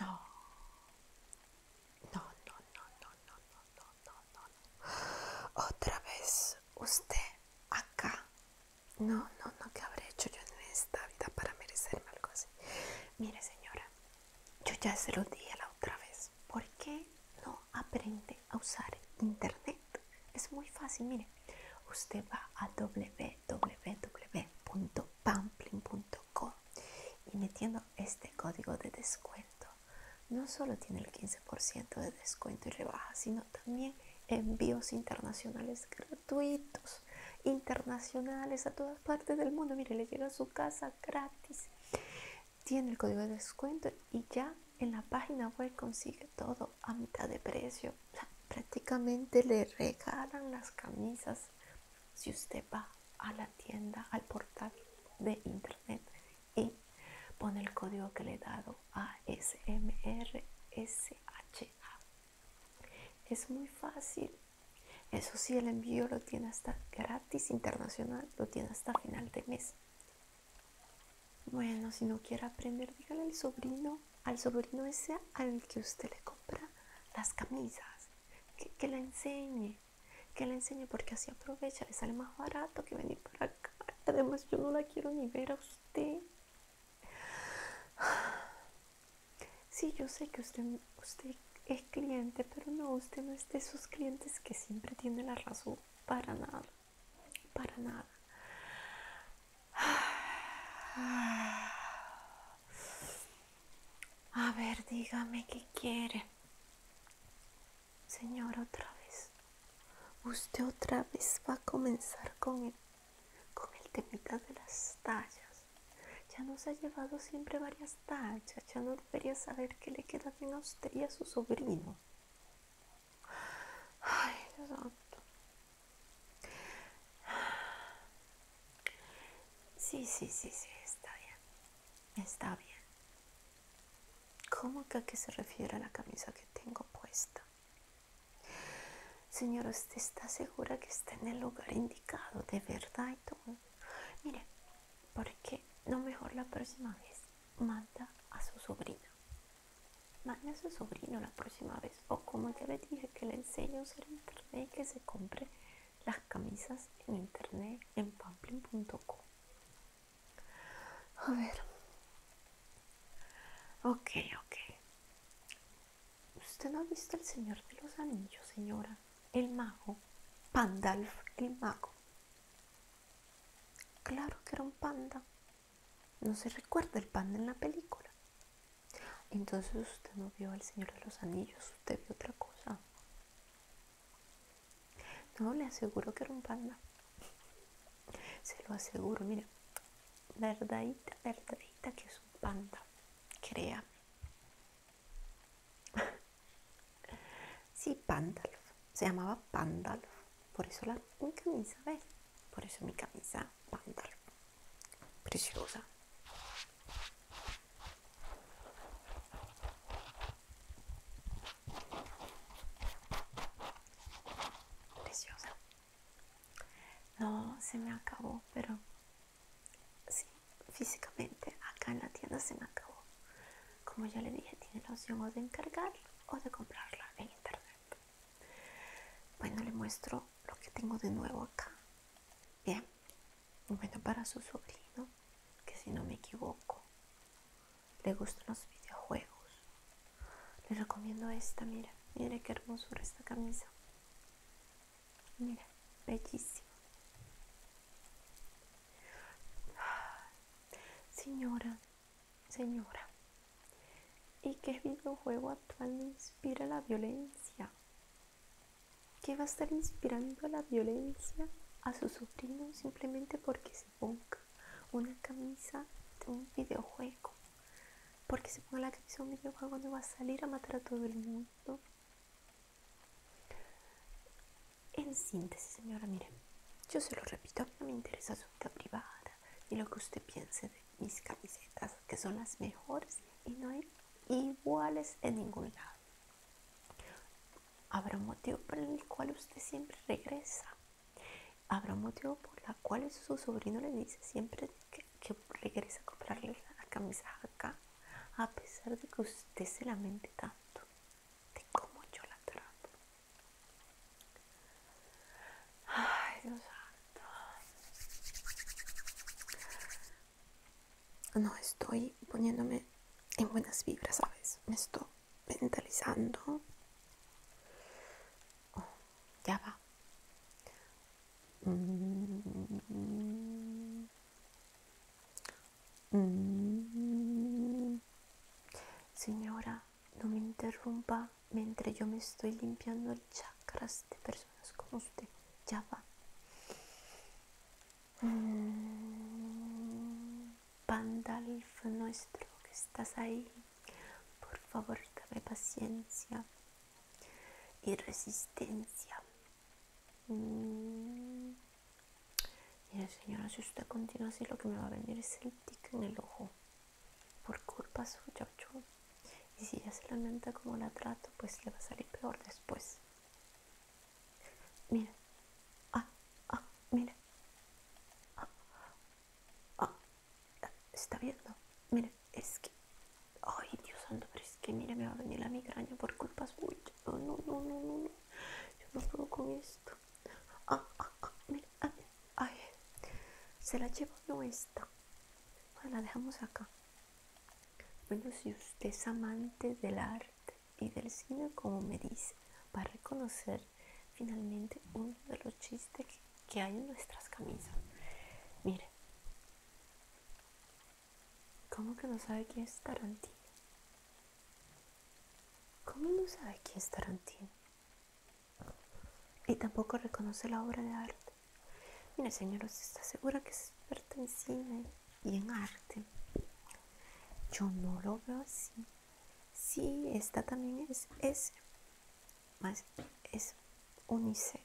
No. No, no, no, no, no, no, no, no, no. Otra vez usted acá. No, no, no, que habré hecho yo en esta vida para merecerme algo así? Mire, señora, yo ya se lo dije la otra vez. ¿Por qué no aprende a usar internet? Es muy fácil, mire. Usted va a www pampling.com y metiendo este código de descuento, no solo tiene el 15% de descuento y rebaja, sino también envíos internacionales gratuitos, internacionales a todas partes del mundo. Mire, le llega a su casa gratis. Tiene el código de descuento y ya en la página web consigue todo a mitad de precio. prácticamente le regalan las camisas si usted va a la tienda, al portal de internet y pone el código que le he dado ASMRSHA. Es muy fácil. Eso sí, el envío lo tiene hasta gratis internacional, lo tiene hasta final de mes. Bueno, si no quiere aprender, dígale al sobrino, al sobrino ese al que usted le compra las camisas que, la enseñe, que la enseñe porque así aprovecha, le sale más barato que venir para acá. Además yo no la quiero ni ver a usted. Sí, yo sé que usted, usted es cliente, pero no, usted no es de esos clientes que siempre tiene la razón. Para nada, para nada. A ver, dígame qué quiere. Señor, otra vez. Usted otra vez va a comenzar con el, con el temita de las tallas. Ya nos ha llevado siempre varias tallas. Ya no debería saber qué le queda bien a usted y a su sobrino. Ay, Dios Sí, sí, sí, sí, está bien. Está bien. ¿Cómo que a qué se refiere a la camisa que tengo puesta? señor? ¿usted está segura que está en el lugar indicado? De verdad y Mire, porque no mejor la próxima vez manda a su sobrino. Manda a su sobrino la próxima vez o como ya le dije que le enseño a usar internet y que se compre las camisas en internet en pamplin.com a ver ok ok usted no ha visto el señor de los anillos señora el mago pandalf el mago claro que era un panda no se recuerda el panda en la película entonces usted no vio al Señor de los Anillos, usted vio otra cosa. No, le aseguro que era un panda. Se lo aseguro, mire, verdadita, verdadita que es un panda, crea Sí, Pandalf, se llamaba Pandalf, por eso la, mi camisa, ¿ves? Por eso mi camisa, Pandalf. Preciosa. Preciosa. No, se me acabó, pero físicamente acá en la tienda se me acabó. Como ya le dije, tiene la opción o de encargarlo o de comprarla en internet. Bueno, le muestro lo que tengo de nuevo acá. Bien, bueno, para su sobrino, que si no me equivoco, le gustan los videojuegos. Le recomiendo esta, mira, mire qué hermosura esta camisa. Mira, bellísima. Señora, señora, ¿Y qué videojuego actual inspira la violencia? ¿Qué va a estar inspirando la violencia a su sobrino simplemente porque se ponga una camisa de un videojuego? Porque se ponga la camisa de un videojuego no va a salir a matar a todo el mundo. En síntesis, señora, miren, yo se lo repito, no me interesa su vida privada y lo que usted piense de mis camisetas, que son las mejores y no hay iguales en ningún lado. Habrá un motivo por el cual usted siempre regresa. Habrá un motivo por el cual su sobrino le dice siempre que, regresa a comprarle la camisa acá, a pesar de que usted se lamente tanto de cómo yo la trato. No estoy poniéndome en buenas vibras, ¿sabes? Me estoy mentalizando. Oh, ya va. Mm. Mm. Señora, no me interrumpa mientras yo me estoy limpiando el chakras de personas como usted. Ya va. Mm, Pandalf nuestro que estás ahí, por favor dame paciencia y resistencia. Mm. Mira señora, si usted continúa así lo que me va a venir es el tic en el ojo por culpa suya, Y si ella se lamenta como la trato, pues le va a salir peor después. mire Ah, ah, mire Ah, ah. Está viendo. mire es que... Ay, Dios santo, pero es que mira, me va a venir la migraña por culpa suya. No, no, no, no, no. Yo no puedo con esto. Ah, ah, ah, mira. Ay ¿Se la llevo no esta? Bueno, ah, la dejamos acá. Bueno, si usted es amante del arte y del cine, como me dice, va a reconocer finalmente uno de los chistes que, hay en nuestras camisas. Mire, ¿cómo que no sabe quién es Tarantino? ¿Cómo no sabe quién es Tarantino? y tampoco reconoce la obra de arte. Mire, señora, está segura que es experta en cine y en arte. Yo no lo veo así. Sí, esta también es, es, es unicef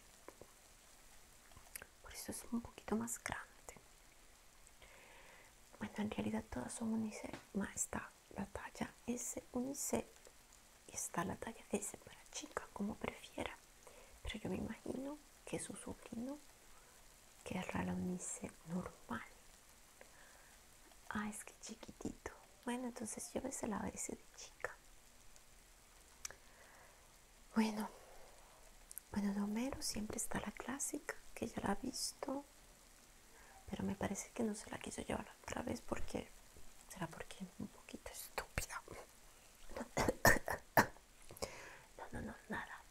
Por eso es un poquito más grande. Bueno, en realidad todas son unicef más la talla s unice está la talla S para chica, como prefiera. Pero yo me imagino que su sobrino querrá la unice normal. Ah, es que chiquitito. Bueno, entonces yo a ese de chica. Bueno, bueno, de siempre está la clásica, que ya la ha visto. Pero me parece que no se la quiso llevar otra vez porque... Será porque es un poquito estúpida. No, no, no, nada.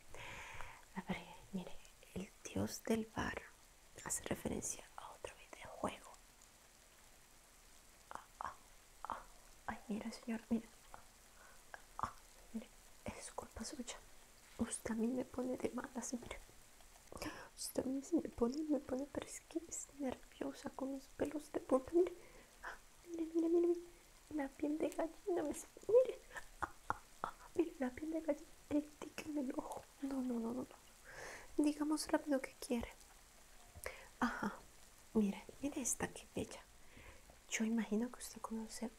mire, el dios del bar hace referencia a otro videojuego. Ah, ah, ah. Ay, mira, señor, mira. mire, es culpa suya. Usted a mí me pone de malas, siempre Usted a mí me pone, me pone, pero nerviosa con los pelos de polvo ah, Mire, mire, mire, mire, la piel de gallina, me, mire, ah, ah, mire, la piel de gallina, el ojo. No, no, no, no, no. Digamos rápido que quiere. Ajá, mire, mire esta que bella. Yo imagino que usted conoce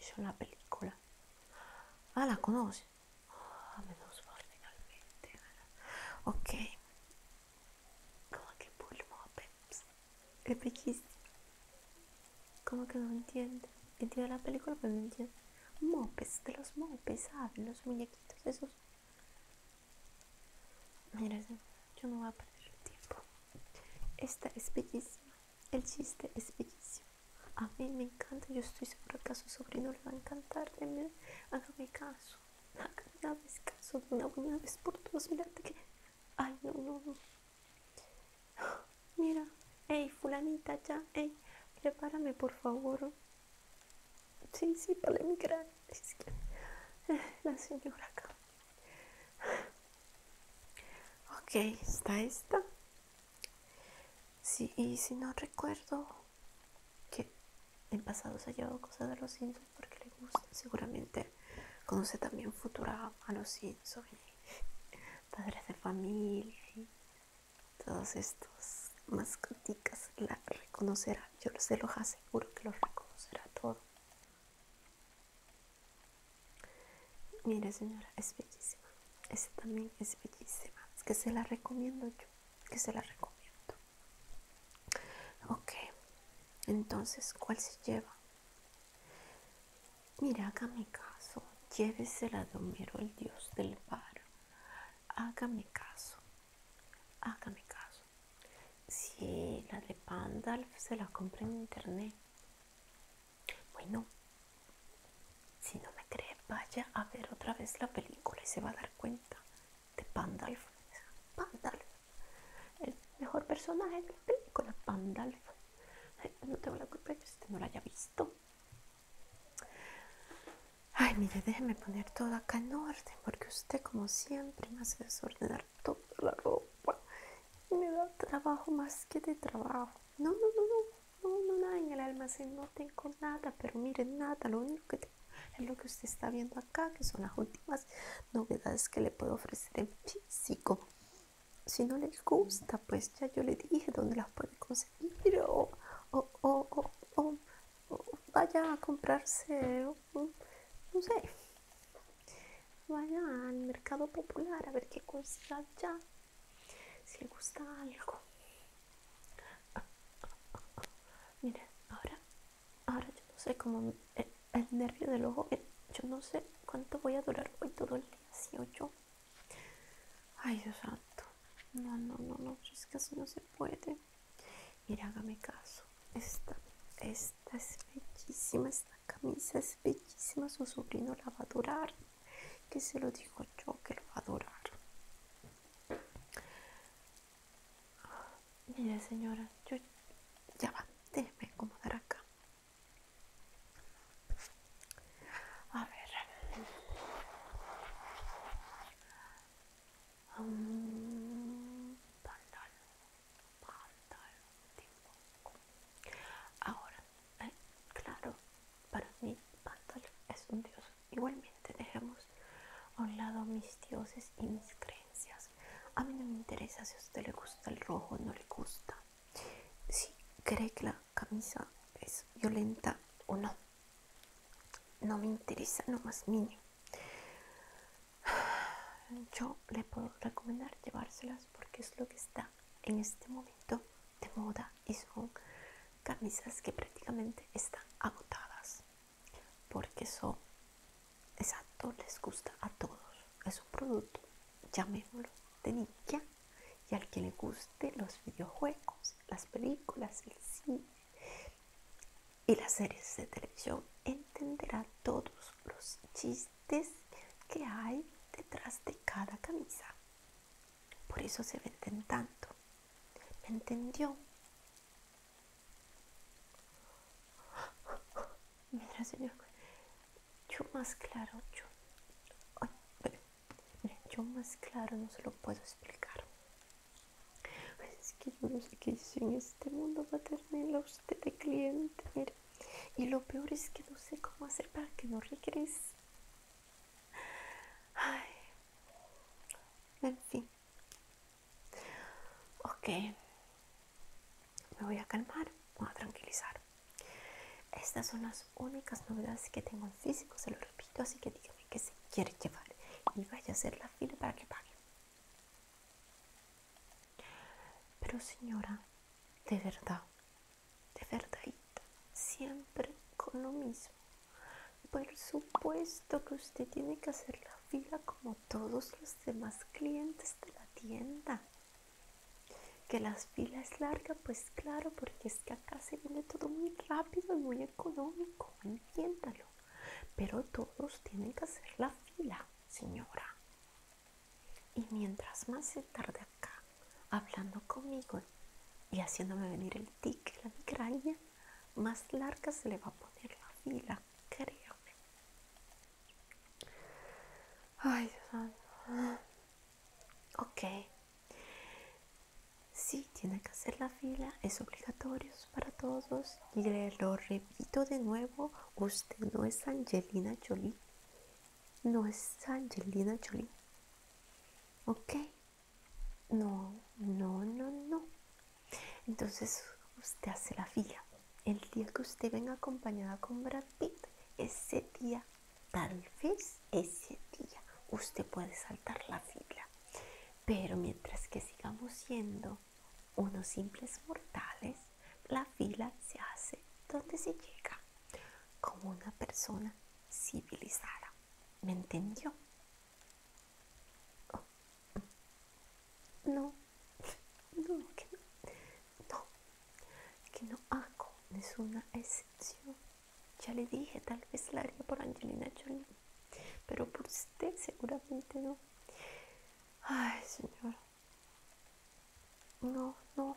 hizo la película. Ah, la conoce menos me lo Ok. Como que pulmón, peps. Es bellísimo Como que no entiende. Entiendo la película, pero no entiende. Mopes, de los mopes, Los muñequitos esos. Mira, yo no voy a perder el tiempo. Esta es bellísima. El chiste es bellísimo. A mí me encanta, yo estoy segura que a su sobrino le va a encantar. Deme, hágame caso, hágame caso de una buena vez por todas. Mírate que. Ay, no, no, no. Mira, hey, fulanita, ya, hey, prepárame por favor. Sí, sí, para mi gran, eh, la señora acá. Ok, está esta. Sí, y si no recuerdo que en pasado se ha llevado cosas de los Simpsons porque le gusta, seguramente conoce también futura a los Simpsons, padres de familia y todos estos mascoticas la reconocerá, yo se los aseguro que los reconocerá todo. Mire señora, es bellísima. Esa también es bellísima. Es que se la recomiendo yo. Que se la recomiendo. Ok. Entonces, ¿cuál se lleva? Mira, hágame caso. Llévesela de Homero, el dios del paro. Hágame caso. Hágame caso. Si la de Pandalf se la compra en internet. Bueno, si no me cree, vaya a ver otra vez la película y se va a dar cuenta de Pandalf. Pandalf. El mejor personaje de la película, Pandalf. No tengo la culpa de que usted no la haya visto. Ay, mire, déjeme poner todo acá en orden, porque usted, como siempre, me hace desordenar toda la ropa. Me da trabajo más que de trabajo. No, no, no, no. No, no no, en el almacén, no tengo nada, pero miren, nada, lo único que tengo es lo que usted está viendo acá, que son las últimas novedades que le puedo ofrecer en físico. Si no les gusta, pues ya yo le dije dónde las puede conseguir o, o, o, vaya a comprarse, no sé, vaya al mercado popular a ver qué hay ya si le gusta algo miren ahora ahora yo no sé como el, nervio del ojo eh, yo no sé cuánto voy a durar hoy todo el día si o yo ay santo no no no no es que así no se puede mira hágame caso esta es bellísima esta camisa es bellísima su sobrino la va a durar que se lo digo yo que lo va a adorar. Mire señora, yo ya va, déjeme acomodar acá. A ver. Mm, pantalón ahora eh, claro, para mí pantalón es un dios. Igualmente dejemos a un lado mis dioses y mis creencias. A mí no me interesa si a usted le gusta el rojo o no le gusta. Si cree que la camisa es violenta o no. No me interesa nomás más Yo le puedo recomendar llevárselas porque es lo que está en este momento de moda y son camisas que prácticamente están agotadas porque son exacto les gusta a todos es un producto llamémoslo de nikia y al que le guste los videojuegos las películas el cine y las series de televisión entenderá todos los chistes que hay detrás de cada camisa por eso se venden tanto. ¿Me entendió? Mira, señor, yo más claro, yo, más claro no se lo puedo explicar. Es que yo no sé qué hice en este mundo para tenerla usted de cliente, Y lo peor es que no sé cómo hacer para que no regrese. En fin. Ok. Me voy a calmar, voy a tranquilizar. Estas son las únicas novedades que tengo en físico, se lo repito, así que dígame que se quiere llevar y vaya a hacer la fila para que pague. Pero señora, de verdad, de verdadita, siempre con lo mismo. Por supuesto que usted tiene que hacer la fila como todos los demás clientes de la tienda. Que la fila es larga? pues claro, porque es que acá se viene todo muy rápido y muy económico, entiéndalo. Pero todos tienen que hacer la fila, señora. Y mientras más se tarde acá, hablando conmigo y haciéndome venir el tic, la migraña, más larga se le va a poner la fila, créame. Ay, Dios mío. Ok. Sí, tiene que hacer la fila, es obligatorio para todos. Y le lo repito de nuevo, usted no es Angelina Jolie, no es Angelina Jolie. ¿Ok? No, no, no, no. Entonces usted hace la fila. El día que usted venga acompañada con Brad Pitt, ese día, tal vez ese día, usted puede saltar la fila. Pero mientras que sigamos siendo unos simples mortales, la fila se hace donde se llega, como una persona civilizada. ¿Me entendió? Oh. No, no, que no, no, que no hago ninguna excepción. Ya le dije, tal vez la haría por Angelina Jolie, pero por usted seguramente no. Ay, señor. No, no.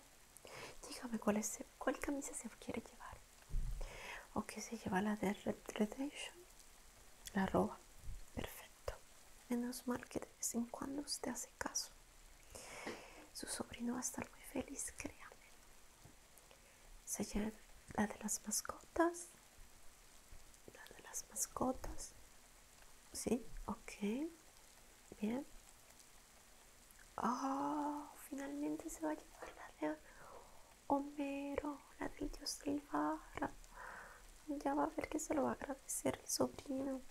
Dígame cuál, es, cuál camisa se quiere llevar. ¿O que se lleva la de Redemption? La roba. Perfecto. Menos mal que de vez en cuando usted hace caso. Su sobrino va a estar muy feliz, créame. Se lleva la de las mascotas. La de las mascotas. Sí, ok. Bien. Oh, finalmente se va a llevar la de Homero, la de dios Silvara. Ya va a ver que se lo va a agradecer el sobrino.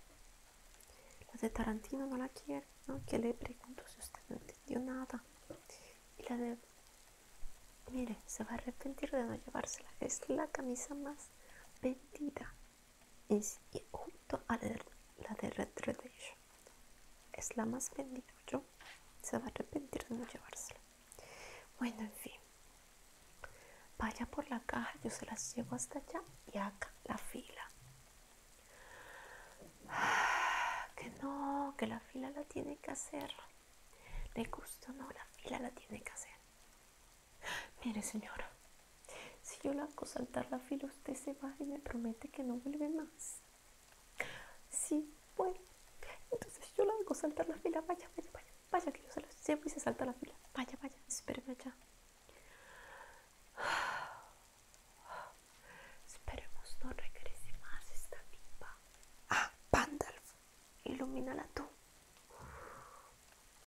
La de Tarantino no la quiere, ¿no? Que le pregunto si usted no entendió nada. Y la de... Mire, se va a arrepentir de no llevársela. Es la camisa más vendida y junto a la de Red Es la más vendida, yo se va a arrepentir de no llevársela. Bueno, en fin. Vaya por la caja, yo se las llevo hasta allá y acá la fila. Ah, que no, que la fila la tiene que hacer. Le gusta no, la fila la tiene que hacer. Mire, señora, si yo la hago saltar la fila, usted se va y me promete que no vuelve más. Sí, bueno, entonces yo la hago saltar la fila, vaya, vaya, vaya, vaya, que yo se lo llevo y se salta la fila, vaya, vaya, espéreme allá. Esperemos no regrese más esta pipa. Ah, Pandalf, ilumínala tú.